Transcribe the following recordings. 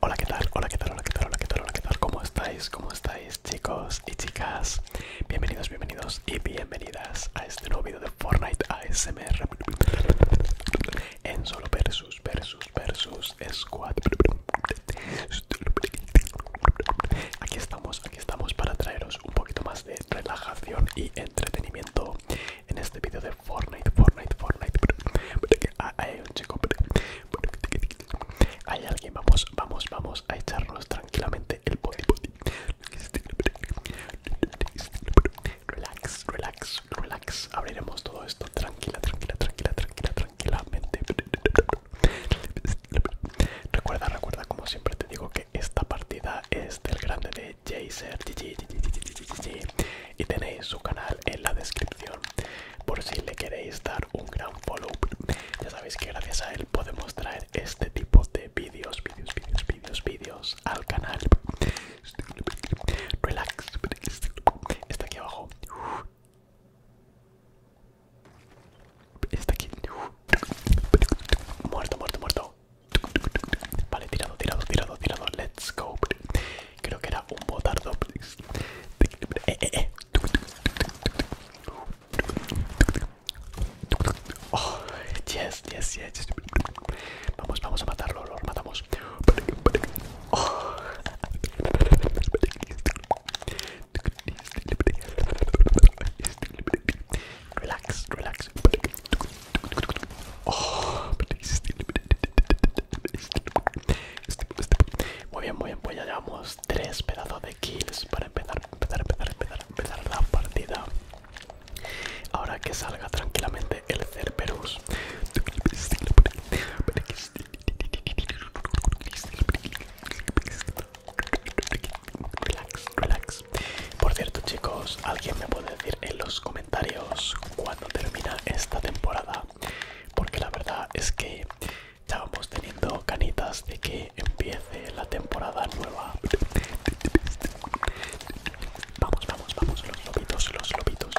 Hola, que tal? Hola, que tal? Hola, que tal? Hola, que tal? Hola, que tal? ¿Cómo estáis? ¿Cómo estáis, chicos y chicas? Bienvenidos, bienvenidos y bienvenidas a este nuevo video de Fortnite ASMR en solo versus, versus, versus squad. Aquí estamos, aquí estamos para traeros pues, un poquito más de relajación y entretenimiento en este vídeo de Fortnite, Fortnite, Fortnite. Ah, hay un chico, hay alguien, vamos, vamos, vamos a echarnos tranquilamente el body. Relax, relax, relax. Abriremos todo esto tranquila, tranquila, tranquila, tranquila, tranquilamente. Recuerda, recuerda, como siempre te digo que esta partida es del grande de Jaser y tenéis su canal en la descripción por si le queréis dar un gran follow. Ya sabéis que gracias a él podemos traer este tipo de vídeos, vídeos, vídeos, vídeos, vídeos al canal. Relax, está aquí abajo. Está aquí. Muerto, muerto, muerto. Vale, tirado, tirado, tirado, tirado. Let's go. Creo que era un botardo. Eh, eh, eh. Oh, yes, yes, yes. Vamos, vamos a matarlo, lo matamos. Oh. Relax, relax. muy bien, muy bien, pues ya llevamos tres pedazos de kills para empezar, empezar, empezar, empezar, la partida. Ahora que salga tranquilamente el Cerberus. Relax, relax. Por cierto, chicos, alguien me puede decir en los comentarios cuándo termina esta temporada, porque la verdad es que ya vamos teniendo canitas de que empiece la temporada nueva. Vamos, vamos, vamos, los lobitos, los lobitos.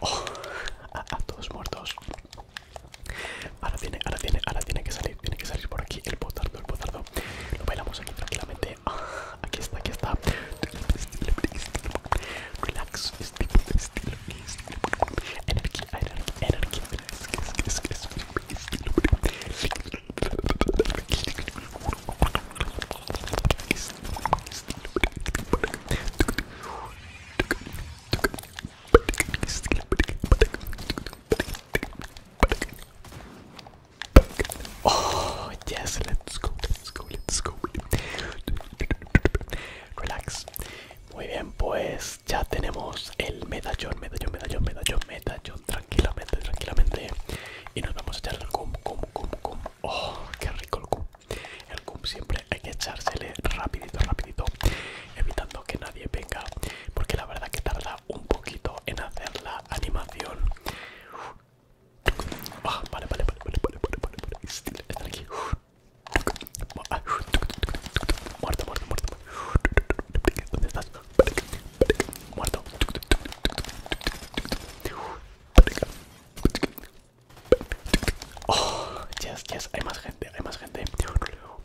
Oh, a todos muertos. Ahora tiene, ahora tiene, ahora tiene que salir, tiene que salir por aquí el botardo, el botardo. Lo bailamos aquí tranquilamente. Ah, aquí está, aquí está. Relax, energía, energía. Oh, yes, let's go, let's go, let's Relax. Muy bien, pues ya tenemos el medallón, medallón, medallón, medallón, medallón. Tranquilamente, tranquilamente. Y nos vamos a echar el cum, cum, cum, cum. Oh, qué rico el cum. El cum siempre hay que echársele rapidito, rapidito, evitando que nadie venga, porque la verdad que tarda un poquito en hacer la animación. Ah, vale, vale, vale, vale, vale, vale, Están aquí. Muerto, muerto, muerto. ¿Dónde estás? Muerto. Oh, hay más gente, hay más gente.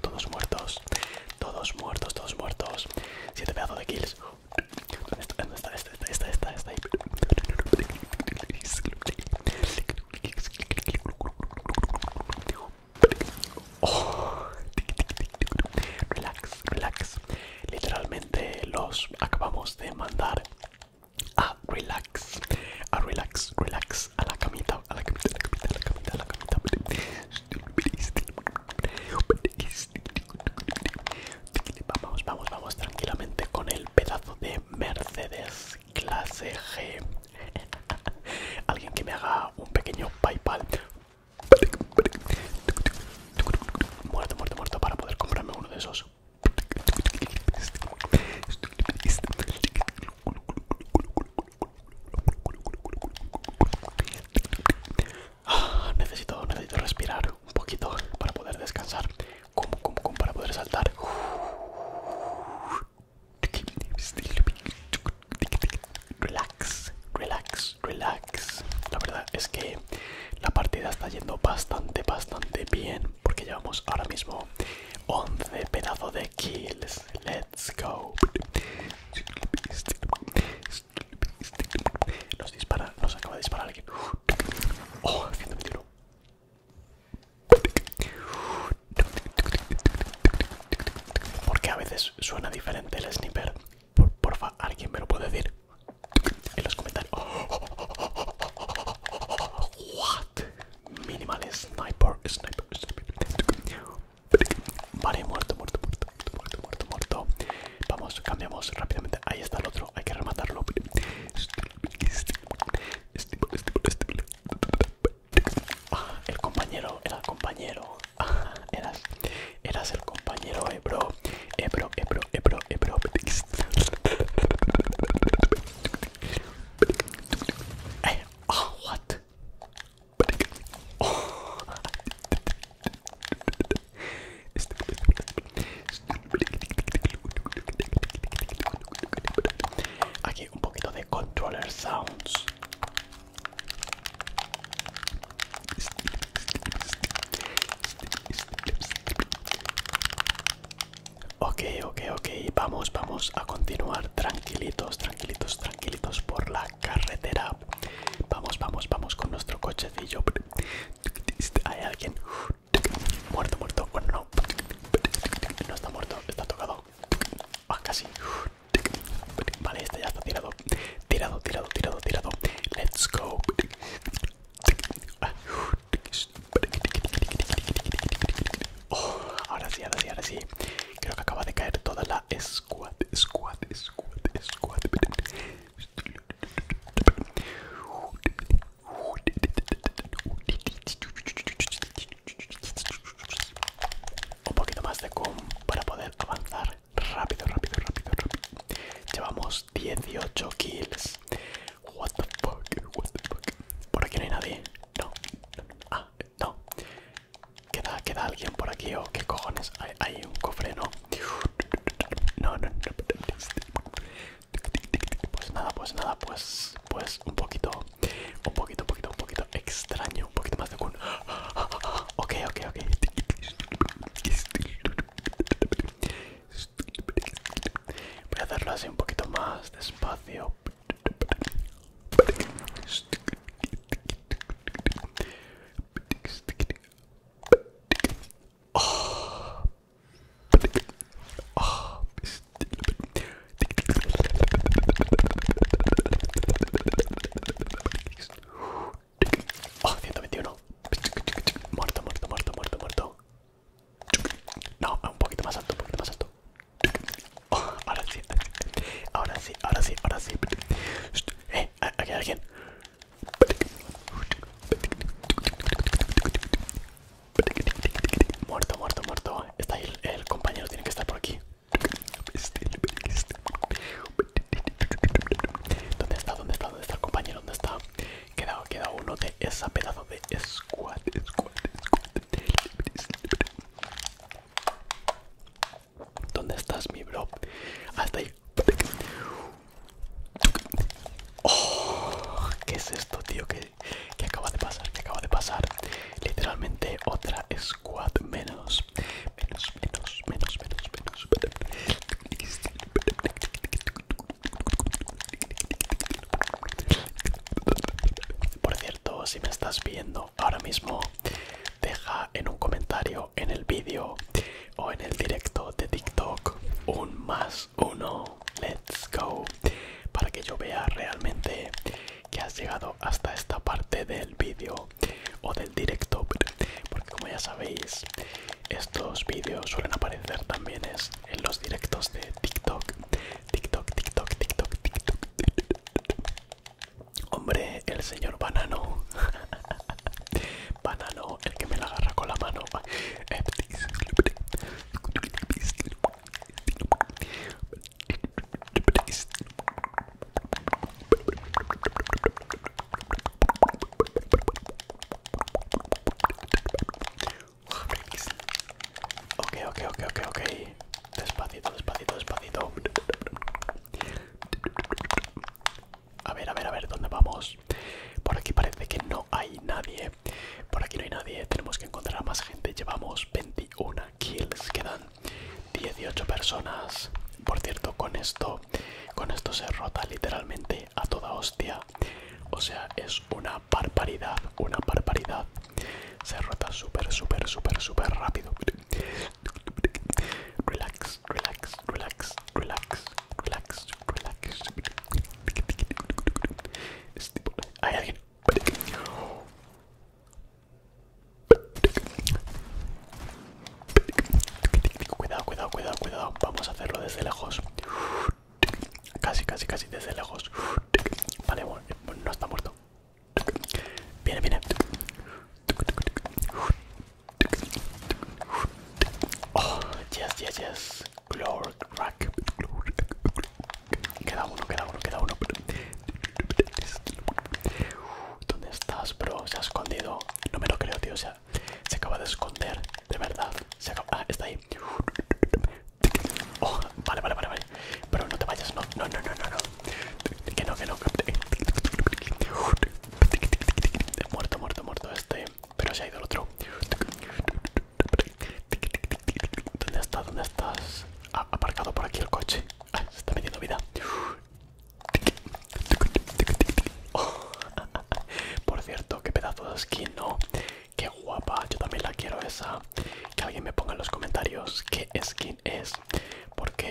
todos muertos, todos muertos, todos muertos. Siete pedazos de kills. Esta, esta, esta, esta, Relax, relax. Literalmente los acabamos de mandar a relax, a relax, relax a la camita, a la camita, a la camita, a la camita, a la camita. Vamos, vamos, vamos tranquilamente con el pedazo de Mercedes clase G. Alguien que me haga un pequeño PayPal. Muerto, muerto, muerto para poder comprarme uno de esos. Ah, necesito, necesito respirar un poquito para poder descansar. Como, como, como para poder saltar. Relax, relax, relax. La verdad es que la partida está yendo bastante, bastante bien. Porque llevamos ahora mismo 11 pedazos de kills. Let's go. Nos dispara, nos acaba de disparar alguien. Oh, 121. Porque a veces suena diferente el sniper. porfa, alguien me lo puede decir en los comentarios. What? Minimal sniper, sniper, sniper. Vale, muerto, muerto, muerto, muerto, muerto, muerto. Vamos, cambiamos rápidamente. Ahí está el otro, hay que rematarlo. Ah, el compañero, era el compañero. eras, eras el compañero, eh, bro. Eh, bro, eh, bro, eh, bro, eh, bro. what? Aquí un poquito de controller sounds. Ok, ok, ok. Vamos, vamos a continuar tranquilitos, tranquilitos, tranquilitos tranquilitos por la carretera. Vamos, vamos, vamos con nuestro cochecillo. Hay alguien muerto, muerto. Bueno, no, no está muerto, está tocado. Ah, casi. Vale, este ya está tirado. Tirado, tirado, tirado, tirado. Let's go. Ah. Oh, ahora sí, ahora sí, ahora sí. Creo que acaba de caer toda la squad, squad, squad, squad. Un poquito más de com para poder avanzar rápido, rápido, rápido, rápido. Llevamos 18 kills. What the fuck, what the fuck. Por aquí no hay nadie no, ah, no. Queda, queda alguien por aquí o qué cojones. Hay, un cofre, ¿no? No, no, Pues nada, pues nada, pues, pues un poquito, un poquito, un poquito, un poquito extraño, un poquito más de un. Ok, ok, ok. Voy a hacerlo así un poquito más despacio. 121. Muerto, muerto, muerto, muerto, No, un poquito más alto, un poquito más alto. ahora sí, ahora sí, ahora sí, ahora sí. Eh, aquí hay alguien. Muerto, muerto, muerto. Está ahí el, compañero, tiene que estar por aquí. ¿Dónde está? ¿Dónde está? ¿Dónde está el compañero? ¿Dónde está? Queda, queda uno de esa pedazo de squad, squad, squad. ¿Dónde estás, mi bro? Hasta ahí. Oh, ¿Qué es esto, tío? ¿Qué, acaba de pasar? que acaba de pasar? Literalmente otra squad Menos, menos, menos, menos, menos. Por cierto, si me estás viendo ahora mismo, deja en un comentario en el vídeo o en el directo de TikTok un más uno. Let's go. Para que yo vea realmente que has llegado hasta esta parte del vídeo o del directo. Porque como ya sabéis, estos vídeos suelen aparecer también en los directos de TikTok. TikTok, TikTok, TikTok, TikTok. Hombre, el señor banano. banano, el que me la agarra con la mano. Okay, okay, okay, okay, ok. Despacito, despacito, despacito. A ver, a ver, a ver, ¿dónde vamos? Por aquí parece que no hay nadie. Por aquí no hay nadie. Tenemos que encontrar a más gente. Llevamos 21 kills. Quedan 18 personas. Por cierto, con esto, con esto se rota literalmente a toda hostia. O sea, es una barbaridad, una barbaridad se rota súper, súper, súper, súper rápido. Relax, relax, relax, relax, relax, relax. Hay alguien. Cuidado, cuidado, cuidado, cuidado. Vamos a hacerlo desde lejos. Casi, casi, casi desde lejos. Vale, bueno, no está muerto. Viene, viene. Oh, yes, yes, yes. Glory rack Queda uno, queda uno, queda uno. ¿Dónde estás, bro? Se ha escondido. No me lo creo, tío. O sea, se acaba de esconder. De verdad. Se acaba... Ah, está ahí. Oh, vale, vale, vale, vale. Pero no te vayas, no, no, no, no, no. Que no, que no. Muerto, muerto, muerto este. Pero se ha ido el otro. ¿Dónde estás? ¿Dónde estás? aparcado por aquí el coche. Ah, se está metiendo vida. Oh. Por cierto, qué pedazo de skin, ¿no? Qué guapa. Yo también la quiero esa. Que alguien me ponga en los comentarios qué skin es porque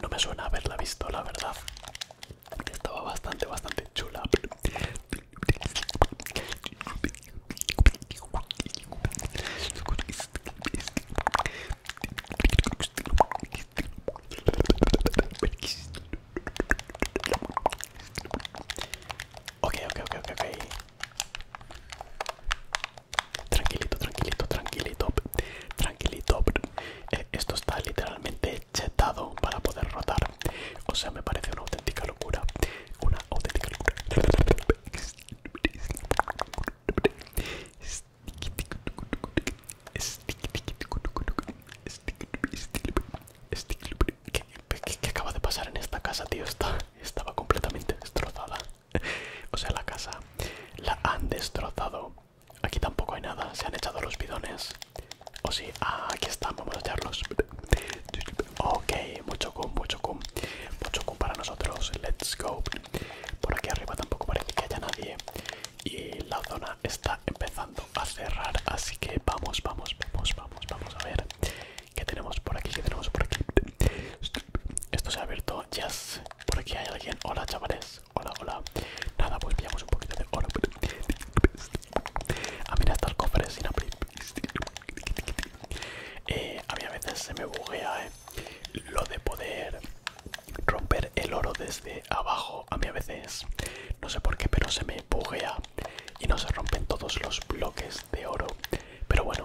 no me suena haberla visto la verdad estaba bastante bastante chula Ok, ok, ok, ok, ok. Tranquilito, tranquilito, tranquilito, tranquilito. Eh, esto está literalmente chetado para poder rotar. O sea, me parece una auténtica locura. Una auténtica locura. ¿Qué, qué, acaba de pasar en esta casa, tío? Está, estaba completamente destrozada. o sea, la casa la han destrozado. Aquí tampoco hay nada, se han echado los bidones. O sí, ah, aquí están, vamos a echarlos. Ok, mucho cum, mucho cum, mucho cum para nosotros. Let's go. Por aquí arriba tampoco parece que haya nadie. Y la zona está empezando a cerrar, así que vamos, vamos, vamos, vamos, vamos a ver qué tenemos por aquí, qué tenemos por aquí. Esto se ha abierto, yes. Por aquí hay alguien. Hola, chavales. Hola, hola. Nada, pues pillamos un poquito de oro. A ah, mira, está el cofre sin abrir. Eh, a mí a veces se me buguea eh, lo de poder romper el oro desde abajo. A mí a veces, no sé por qué, pero se me buguea y no se rompen todos los bloques de oro. Pero bueno,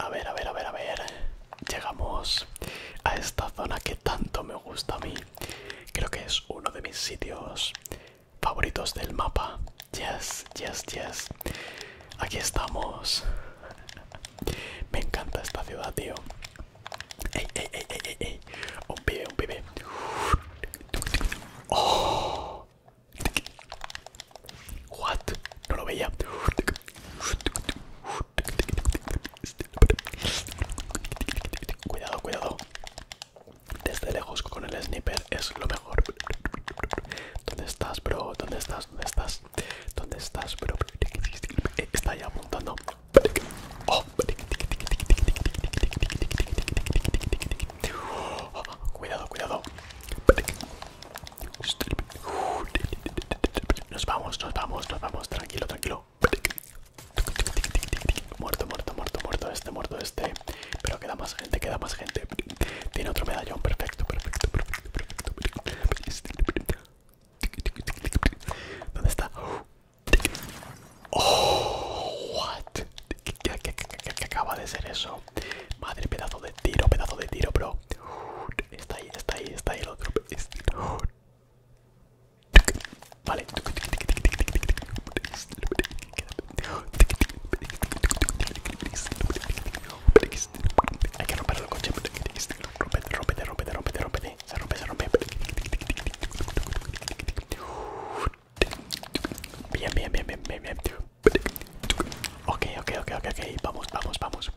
a ver, a ver, a ver, a ver. Llegamos a esta zona que tanto me gusta a mí. Creo que es uno de mis sitios favoritos del mapa. Yes, yes, yes. Aquí estamos. Me encanta esta ciudad, tío. Ey, ey, ey, ey, ey, Un pibe, un pibe. Oh. What? No lo veía. Cuidado, cuidado. Desde lejos con el sniper es lo mejor. ¿Dónde estás, bro? ¿Dónde estás? ¿Dónde estás? ¿Dónde estás, bro? Eh, está ya apuntando. Oh. Cuidado, cuidado. Nos vamos, nos vamos, nos vamos. Tranquilo, tranquilo. Muerto, muerto, muerto, muerto este, muerto este. Pero queda más gente, queda más gente. Tiene otro medallón, perfecto, perfecto, perfecto, perfecto. ¿Dónde está? Oh, what? ¿Qué, qué, acaba de ser eso? Madre, pedazo de tiro, pedazo de tiro, bro. Está ahí, está ahí, está ahí el Vale. Hay que romper el coche. Rompete, rompete, rompete, rompe, Se rompe, se rompe. Bien, bien, bien, bien, bien, bien. Ok, ok, ok, ok, Vamos, vamos, vamos.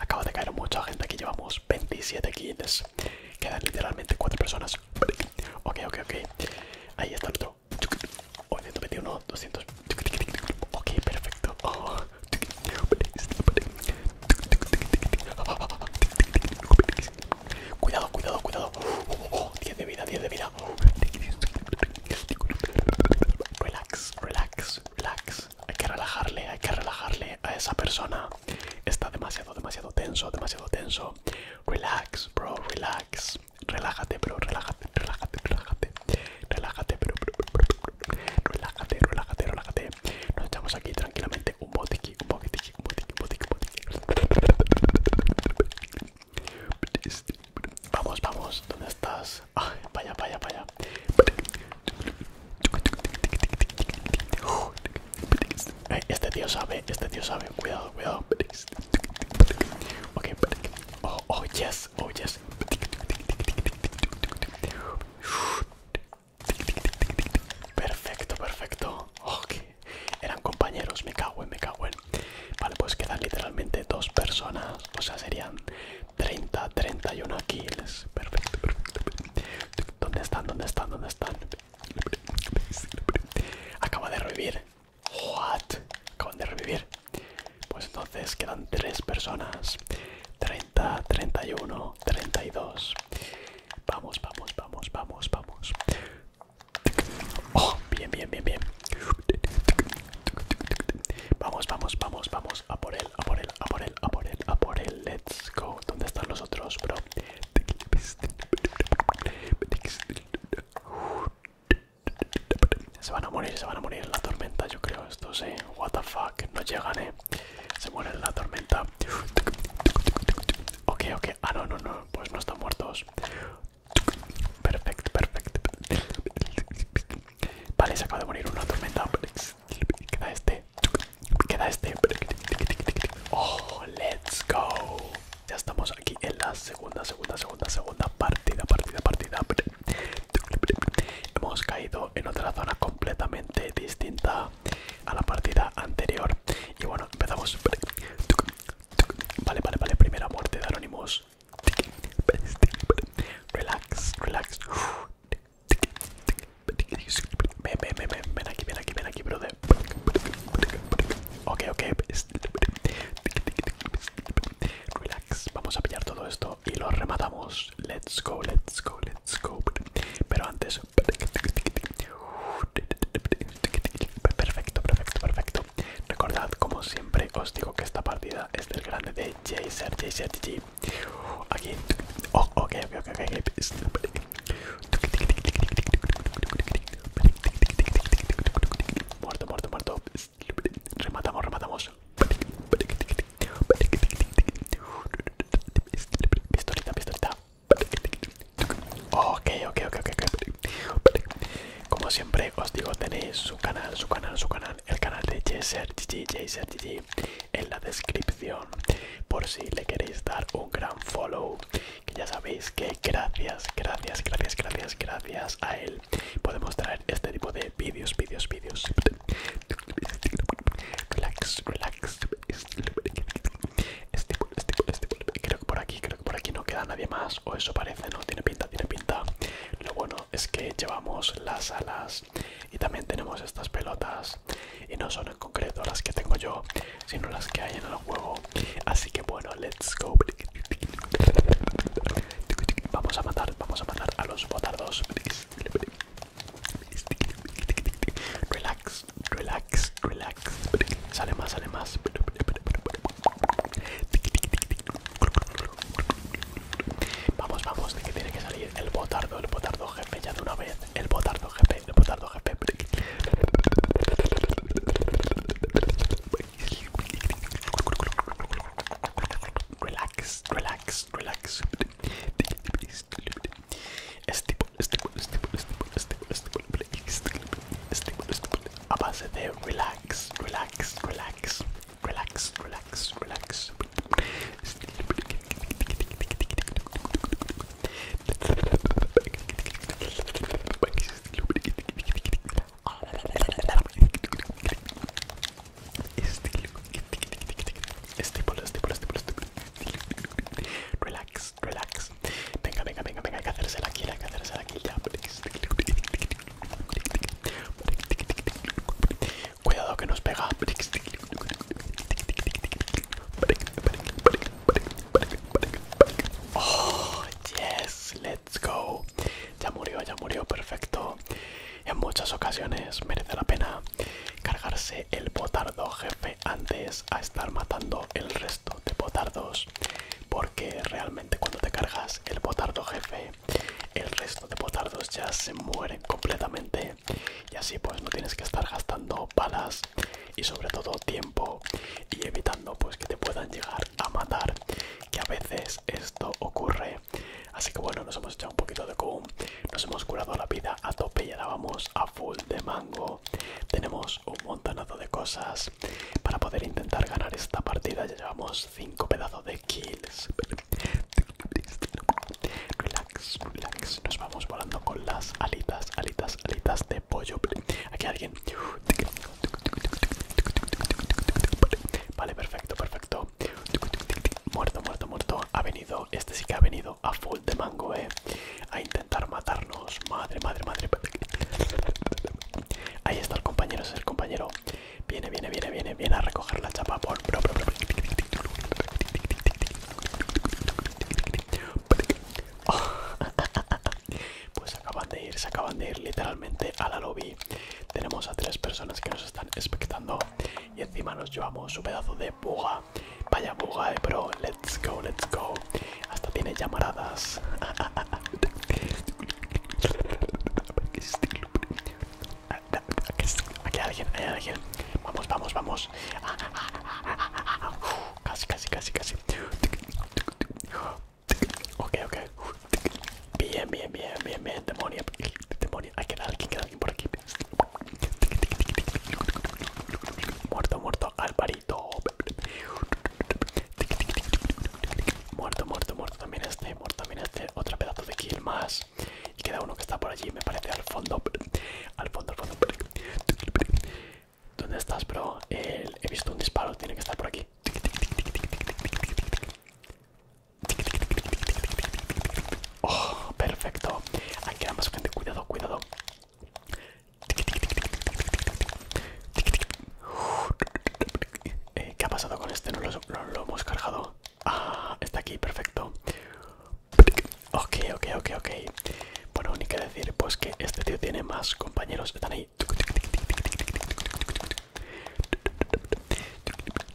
Acaba de caer mucha gente aquí. Llevamos 27 kills. Quedan literalmente 4 personas. Ok, ok, ok. Ahí está el otro. 821, 200. Ok, perfecto. Oh. Cuidado, cuidado, cuidado. 10 uh, uh, uh, de vida, 10 de vida. Relax, relax, relax. Hay que relajarle, hay que relajarle a esa persona. Está demasiado, demasiado tenso, demasiado tenso. Relax, bro, relax. Relájate, bro, relájate, relájate, relájate. Relájate, bro. Relájate, relájate, relájate. Nos echamos aquí tranquilamente Vamos, vamos, ¿dónde estás? vaya, vaya, vaya. Eh, este tío sabe, este tío sabe, cuidado, cuidado. Ok, oh, oh yes, oh yes. Perfecto, perfecto. Ok, eran compañeros, me cago en, me cago en. Vale, pues quedan literalmente dos personas. O sea, serían 30, 31 kills. Perfecto, perfecto. ¿Dónde están? ¿Dónde están? ¿Dónde están? Acaba de revivir. What? Acaban de revivir. Pues entonces quedan tres personas. 30, 31, 32. Vamos, vamos, vamos, vamos, vamos. Oh, bien, bien, bien, bien. Vamos, vamos, vamos, vamos. A por él, a por él, a por él, a por él, Let's go. ¿Dónde están los otros, bro? Se van a morir, se van a morir en la tormenta, yo creo. esto eh. What the fuck. No llegan, eh. Se mueren en la tormenta. Ok, ok, Ah, no, no, no, pues no están muertos. Perfecto, perfecto. Vale, se acaba de morir una tormenta. Queda este. Queda este. Oh, let's go. Ya estamos aquí en la segunda, segunda, segunda, segunda partida, partida, partida. Hemos caído en otra zona completamente distinta a la partida anterior. Y bueno, empezamos. Vale, vale, vale. Primera muerte de Anonymous. Relax, relax. ven, ven, ven, ven aquí, ven aquí, ven aquí, brother. Ok, ok. Relax, vamos a pillar todo esto y lo rematamos. Let's go, let's go, let's go. Pero antes, Perfecto, perfecto, perfecto. Recordad, como siempre, os digo que esta partida es del grande de Jaser, Aquí, oh, ok, ok, ok, Muerto, muerto, muerto. Rematamos, rematamos. Pistolita, pistolita. Ok, ok, ok, ok. Como siempre os digo, tenéis su canal, su canal, su canal, el canal de JSRGG, en la descripción. Por si le queréis dar un gran follow. Que ya sabéis que gracias, gracias, gracias, gracias, gracias a él podemos traer este tipo de vídeos, vídeos, vídeos. Relax, relax. Este este este creo que por aquí, creo que por aquí no queda nadie más, o eso parece, no, tiene pinta, tiene pinta. Lo bueno es que llevamos las alas y también tenemos estas pelotas, y no son en concreto las que tengo yo, sino las que hay en el juego. Así que bueno, let's go. Vamos a matar, vamos a matar a los botardos. Relax, relax, relax, Sale más, sale más. Vamos, vamos, de que tiene que salir el botardo, el botardo jefe, ya de una vez. El botardo jefe, el botardo GP, Relax, relax, relax. Este a base de relax, relax, relax, relax, relax, relax. Relax, relax, Venga, venga, venga, venga, hay que hacerse la kill, hay que hacerse la ya. Cuidado que nos pega. Oh, yes, let's go. Ya murió, ya murió, perfecto. En muchas ocasiones merece la pena cargarse el botardo jefe antes a estar matando el resto de botardos porque realmente cuando te cargas el botardo jefe el resto de botardos ya se mueren completamente y así pues no tienes que estar gastando balas y sobre todo tiempo y evitando pues que te puedan llegar a matar que a veces esto ocurre así que bueno nos hemos echado un poquito de cum nos hemos curado la vida a tope y ahora vamos a full de mango tenemos un montonazo de cosas para poder intentar ganar esta partida. Ya llevamos 5 pedazos de kills. Relax, relax. Nos vamos volando con las alitas, alitas, alitas de pollo. Aquí alguien. Vale, perfecto, perfecto. Muerto, muerto, muerto. Ha venido, este sí que ha venido a full de mango, eh. A intentar matarnos. Madre, madre, madre. Ahí está el compañero, es el compañero. Viene, viene, viene, viene, viene a recoger la chapa. Por... Pues acaban de ir, se acaban de ir literalmente a la lobby. Tenemos a tres personas que nos están expectando y encima nos llevamos un pedazo de buga. Vaya buga de eh, Let's go, let's go. Hasta tiene llamaradas. Aquí hay alguien, hay alguien. Vamos, vamos, vamos. Casi, casi, casi, casi. Ok, ok. Bien, bien, bien, bien, bien. Demonio, demonio. Hay que dar alguien, alguien por aquí. Muerto, muerto. Al Muerto, muerto, muerto. También este, muerto, también este. Otro pedazo de kill más. Y queda uno que está por allí, me parece, al fondo. Al fondo, al fondo. ¿Dónde estás, bro? he visto un disparo, tiene que estar por aquí. Oh, perfecto. Aquí nada más gente. Cuidado, cuidado. Eh, ¿Qué ha pasado con este? ¿No lo, hemos cargado? Ah, está aquí, perfecto. Ok, ok, ok, ok. Bueno, ni qué decir, pues que este tío tiene más compañeros. Están ahí.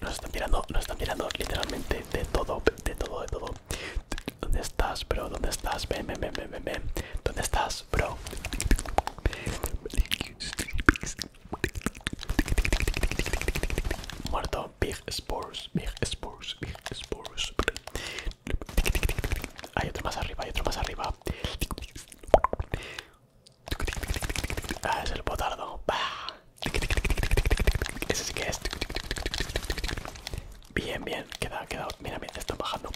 Nos están mirando, nos están mirando literalmente de todo, de todo, de todo. ¿Dónde estás, bro? ¿Dónde estás? Ven, ven, ven, ven, ven. ¿Dónde estás, bro? Muerto. Big Spores. Big Spores. Big Spores. Hay otro más arriba, hay otro más arriba. Ah, es el botardo. Ese sí que es. Bien, bien, queda, queda. Mira, mira, están bajando.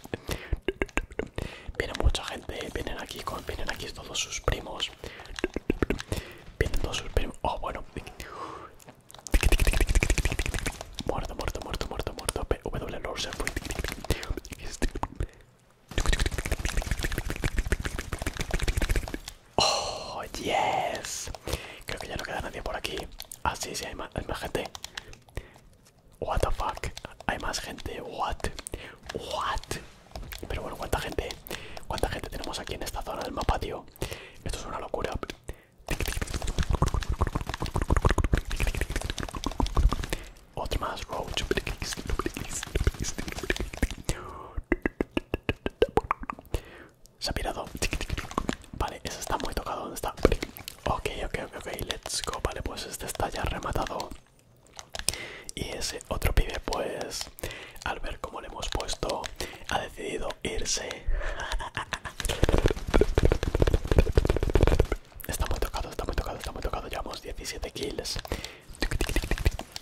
Viene mucha gente, vienen aquí con. Vienen aquí todos sus primos. Vienen todos sus primos. Oh, bueno. Muerto, muerto, muerto, muerto, muerto. Oh, yes. Creo que ya no queda nadie por aquí. Así, ah, sí, hay hay más gente. What the fuck. Hay más gente. What? What? Pero bueno, ¿cuánta gente? ¿Cuánta gente tenemos aquí en esta zona del mapa, tío? Esto es una locura. Otro más, Se ha pirado. Vale, ese está muy tocado. ¿Dónde está? Ok, ok, ok, ok, let's go. Vale, pues este está ya rematado. Y ese otro pibe, pues, al ver cómo le hemos puesto, ha decidido irse. Está muy tocado, está muy tocado, está muy tocado. Llevamos 17 kills.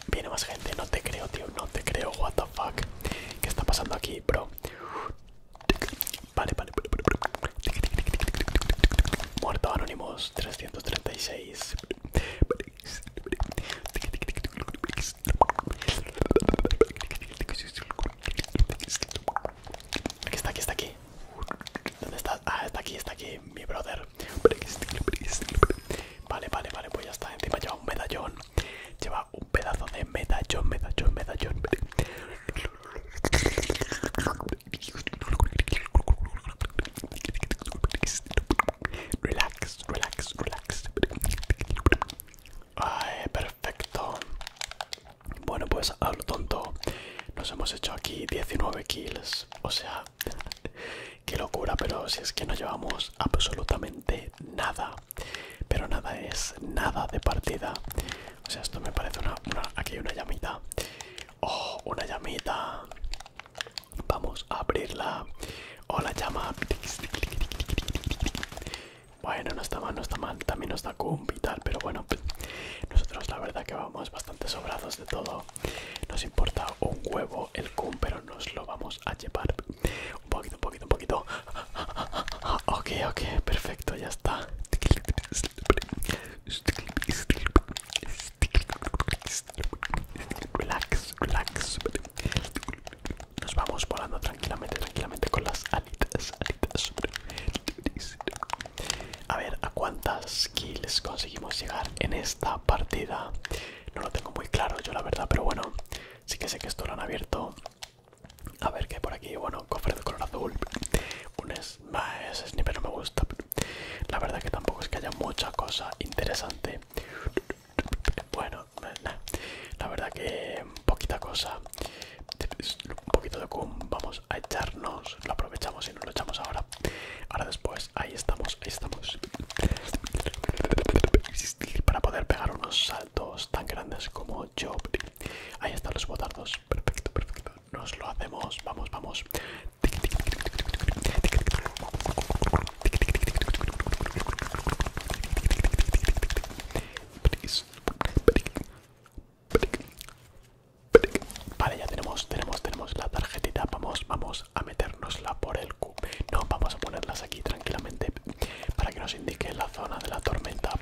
Viene más gente, no te creo, tío, no te creo. What the fuck, ¿qué está pasando aquí, bro? Vale, vale. Muerto anónimos 336. Aquí está, aquí está, aquí. ¿Dónde está? Ah, está aquí, está aquí, mi brother. Vale, vale, vale, pues ya está. Encima lleva un medallón. Lleva un pedazo de medallón, medallón, medallón. Relax, relax, relax. Ay, perfecto. Bueno, pues a lo tonto. Nos hemos hecho aquí 19 kills. O sea, qué locura, pero si es que no llevamos absolutamente nada. Pero nada es nada de partida. O sea, esto me parece una... aquí hay una llamita. Oh, una llamita. Vamos a abrirla. Oh, la llama. Bueno, no está mal, no está mal. También nos está cum y tal, pero bueno, nosotros la verdad que vamos bastante sobrados de todo. Nos importa un huevo el cum, pero nos lo vamos a llevar. Un poquito, un poquito, un poquito. Ok, ok, perfecto ya está. Relax, relax. Nos vamos volando tranquilamente, tranquilamente con las alitas, alitas. A ver, ¿a cuántas kills conseguimos llegar en esta partida? No lo tengo muy claro yo la verdad, pero bueno, sí que sé que esto lo han abierto a ver qué por aquí. Bueno, cofre de color azul. Un más sniper no me gusta. La verdad que tampoco es que haya mucha cosa interesante. Bueno, eh, la verdad que poquita cosa. Un poquito de cum. Vamos a echarnos. Lo aprovechamos y nos lo echamos ahora. Ahora después. Ahí estamos. Ahí estamos. Para poder pegar unos saltos tan grandes como yo. Ahí están los botardos perfecto, perfecto. Nos lo hacemos, vamos, vamos. Vale, ya tenemos, tenemos, tenemos la tarjetita. Vamos, vamos a meternosla por el Q. No, vamos a ponerlas aquí tranquilamente para que nos indique la zona de la tormenta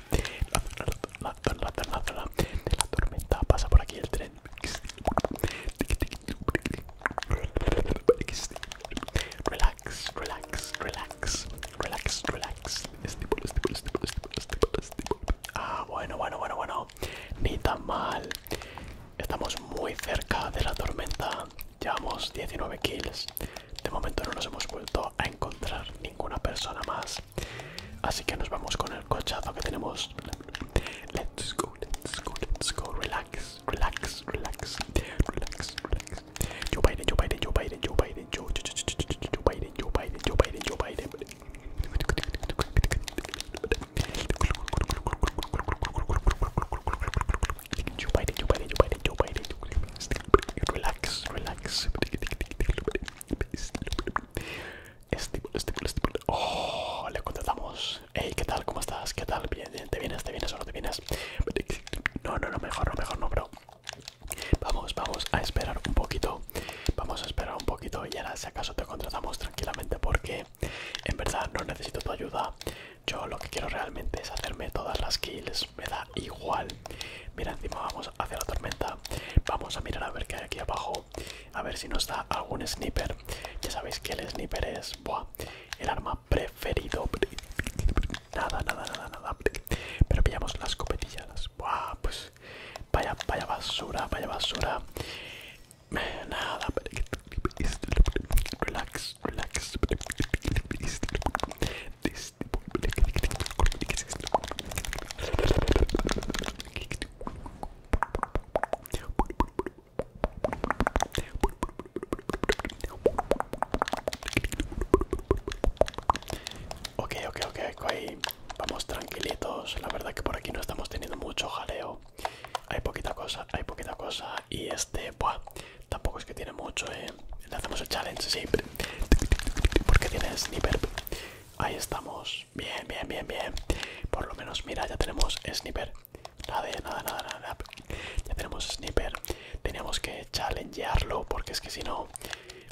la, de la tormenta pasa por aquí el tren. Relax, relax, relax, relax, relax. Ah, bueno, bueno, bueno, bueno. Ni tan mal. Estamos muy cerca de la tormenta. Llevamos 19 kills. De momento no nos hemos vuelto a encontrar ninguna persona más. Así que nos vamos con el cochazo que tenemos. Let's go, let's go, let's go. Relax, relax, relax. Relax, relax. Yo Biden, yo Biden, yo Biden yo Biden, yo, yo, Joe Joe Relax, relax. Estímulo, este este Oh, le contratamos. Hey, ¿qué tal? ¿Cómo estás? ¿Qué tal? ¿Bien? ¿Te vienes? ¿Te vienes o no te vienes? No, no, no, mejor, no, mejor, no, bro. Vamos, vamos a esperar un poquito. Vamos a esperar un poquito y ahora, si acaso, te contratamos tranquilamente porque en verdad no necesito tu ayuda. Yo lo que quiero realmente es hacerme todas las kills. Me da igual Mira, encima vamos hacia la tormenta. Vamos a mirar a ver qué hay aquí abajo. A ver si nos da algún sniper. Ya sabéis que el sniper es el arma preferido. Nada, nada, nada, nada. Pero pillamos las copetillas. pues vaya, vaya basura, vaya basura. Nada. Relax, relax. Ok, ok, ok, okay. vamos tranquilitos. La verdad que por aquí no estamos teniendo mucho jaleo. Hay poquita cosa, hay poquita cosa. Y este, buah, tampoco es que tiene mucho, eh. Le hacemos el challenge, siempre Porque tiene sniper. Ahí estamos. Bien, bien, bien, bien. Por lo menos, mira, ya tenemos sniper. Nada, nada, nada, nada. Ya tenemos sniper. Teníamos que challengearlo porque es que si no,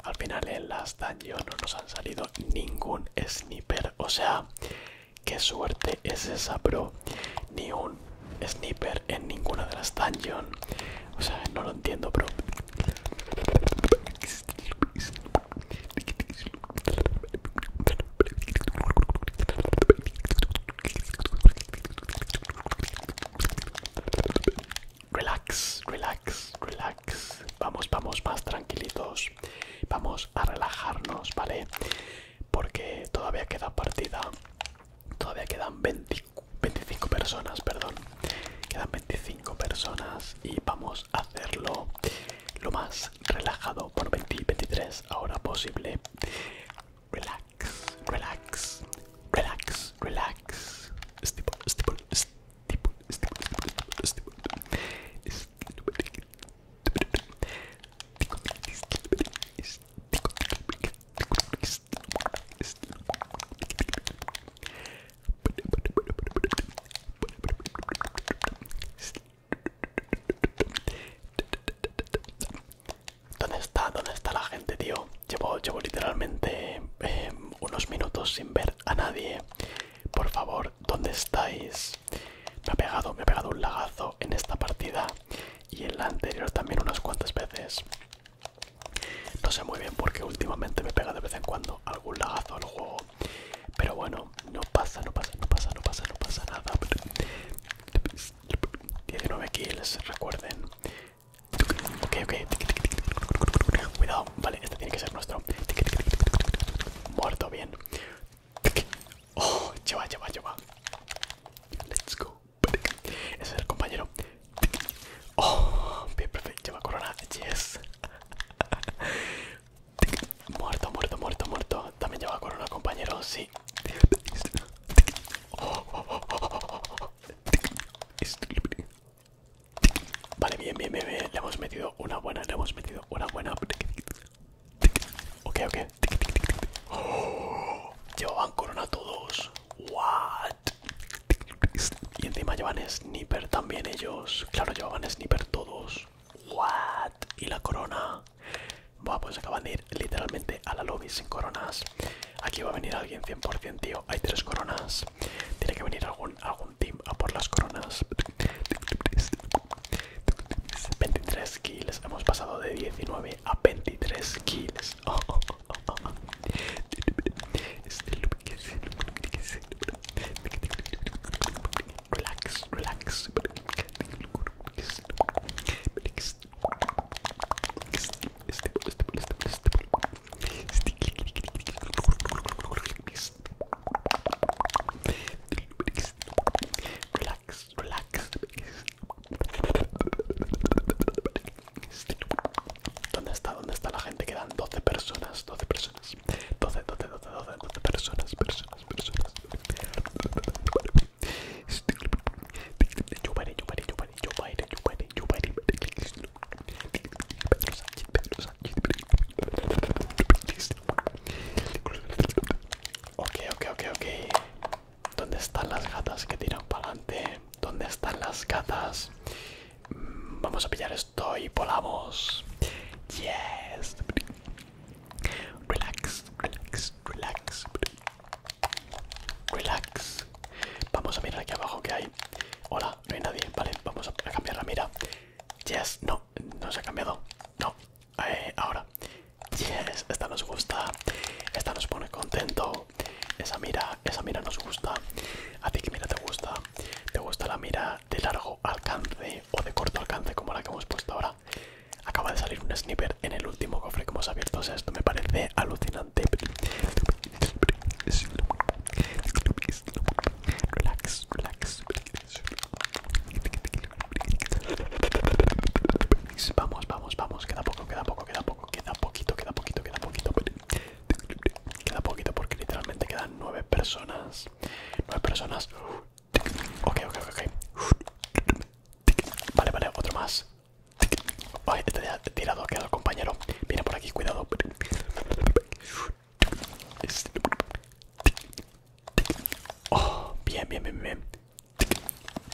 al final en las dungeons no nos han salido ningún sniper. O sea, qué suerte es esa, bro. Ni un sniper en ninguna de las dungeons. O sea, no lo entiendo, bro. Relax, relax, relax. Vamos, vamos más tranquilitos. Vamos a relajarnos, ¿vale? Porque todavía queda partida. Todavía quedan 25 personas, perdón. Quedan 25 personas y vamos a hacerlo lo más relajado por 20 ahora posible. Relax, relax, relax, relax. ¿Dónde está? ¿Dónde está la gente, tío? Llevo, literalmente eh, unos minutos sin ver a nadie. Por favor, ¿dónde estáis? Me ha pegado, me ha pegado un lagazo en esta partida y en la anterior también unas cuantas veces. No sé muy bien porque últimamente me pega de vez en cuando algún lagazo al juego. Pero bueno, no pasa, no pasa, no pasa, no pasa, no pasa nada. 19 kills, recuerden. Cuidado, vale, este tiene que ser nuestro. Muerto, bien. lleva, oh, lleva, lleva. Let's go. Ese es el compañero. Oh, bien, perfecto. Lleva corona. Yes. Muerto, muerto, muerto, muerto. También lleva corona, compañero. Sí. Vale, bien, bien, bien, Le hemos metido una buena, le hemos metido una buena. Ok, ok. llevaban corona todos. What? Y encima llevan sniper también ellos. Claro, llevaban sniper todos. What? Y la corona. Bueno, pues acaban de ir literalmente a la lobby sin coronas. Aquí va a venir alguien 100%, tío. Hay tres coronas. Tiene que venir algún, algún team a por las coronas. 23 kills. Hemos pasado de 19 a 23 kills. Relax, este relax. Relax, relax. ¿Dónde está? ¿Dónde está la gente? Quedan 12 personas personas, 12 personas, 12, 12, 12, 12, personas, personas, personas. ¿Dónde están las gatas que tiran para adelante? ¿Dónde están las gatas? Vamos a pillar estoy, volamos. Yes. Relax, relax, relax. Relax. Vamos a mirar aquí abajo que hay. Hola, no hay nadie. Vale, vamos a cambiar la mira. Yes, no, no se ha cambiado. No, eh, ahora. Yes, esta nos gusta. Esta nos pone contento. Esa mira, esa mira nos gusta a ti que mira te gusta te gusta la mira de largo alcance o de corto alcance como la que hemos puesto ahora acaba de salir un sniper en el último cofre que hemos abierto o sea esto me parece alucinante relax relax vamos vamos vamos queda poco queda poco queda poco queda poquito queda poquito queda poquito Queda poquito porque literalmente quedan nueve personas. Nueve personas. Ok, ok, ok. Vale, vale, otro más. Ay, este ya tirado queda el compañero. Viene por aquí, cuidado. Oh, bien, bien, bien, bien.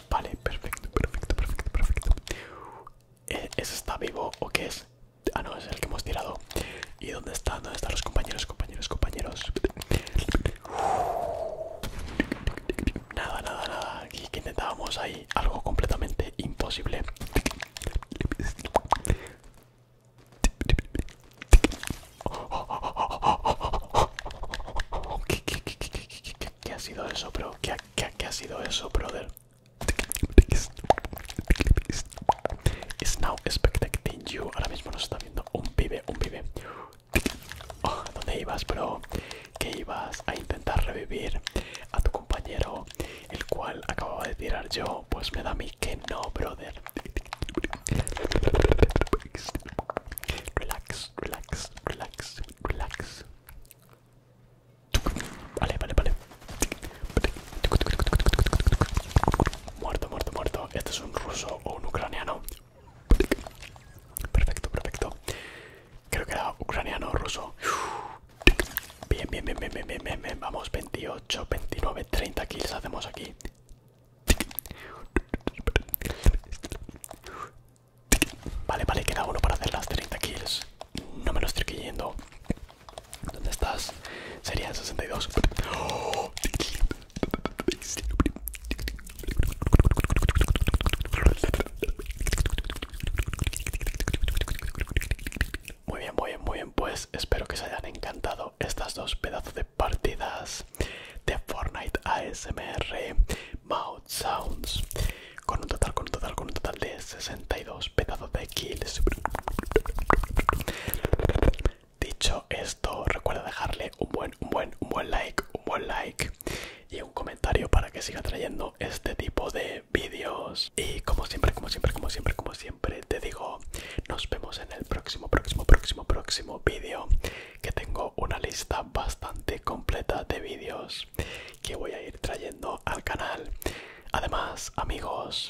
Vale, perfecto, perfecto, perfecto, perfecto. ¿E-, ¿Ese está vivo o qué es? Ah, no, es el que hemos tirado. ¿Y dónde están? ¿Dónde están los compañeros, compañeros, compañeros? Nada, nada, nada. Aquí que intentábamos ahí algo completamente imposible. ¿Qué, ha sido eso, bro? qué ha sido eso, brother? Es now expecting you. Ahora mismo nos está viendo un pibe, un pibe. Oh, ¿Dónde ibas, bro? Que ibas a intentar revivir a tu compañero, el cual acababa de tirar yo. Pues me da a mí que no, brother. Relax, relax, relax, relax. Vale, vale, vale. Muerto, muerto, muerto. Este es un ruso o un ucraniano. Perfecto, perfecto. Creo que era ucraniano o ruso. Bien, bien, bien, bien, bien, bien, bien, Vamos, 28, 29, 30 kills hacemos aquí. Vale, vale, queda uno para hacer las 30 kills. No me lo estoy creyendo. ¿Dónde estás? Sería 62. Muy bien, muy bien, muy bien. Pues espero que os hayan encantado estas dos pedazos de partidas de Fortnite ASMR Mouth Sounds. Con un total, con un total, con un total de 62 pedazos de kills. Dicho esto, recuerda dejarle un buen, un buen, un buen like, un buen like y un comentario para que siga trayendo este tipo de vídeos. Y como siempre, como siempre, como siempre, como siempre, te digo, nos vemos en el próximo, próximo, próximo, próximo vídeo. Que tengo una lista bastante completa de vídeos que voy a ir trayendo al canal. Además, amigos,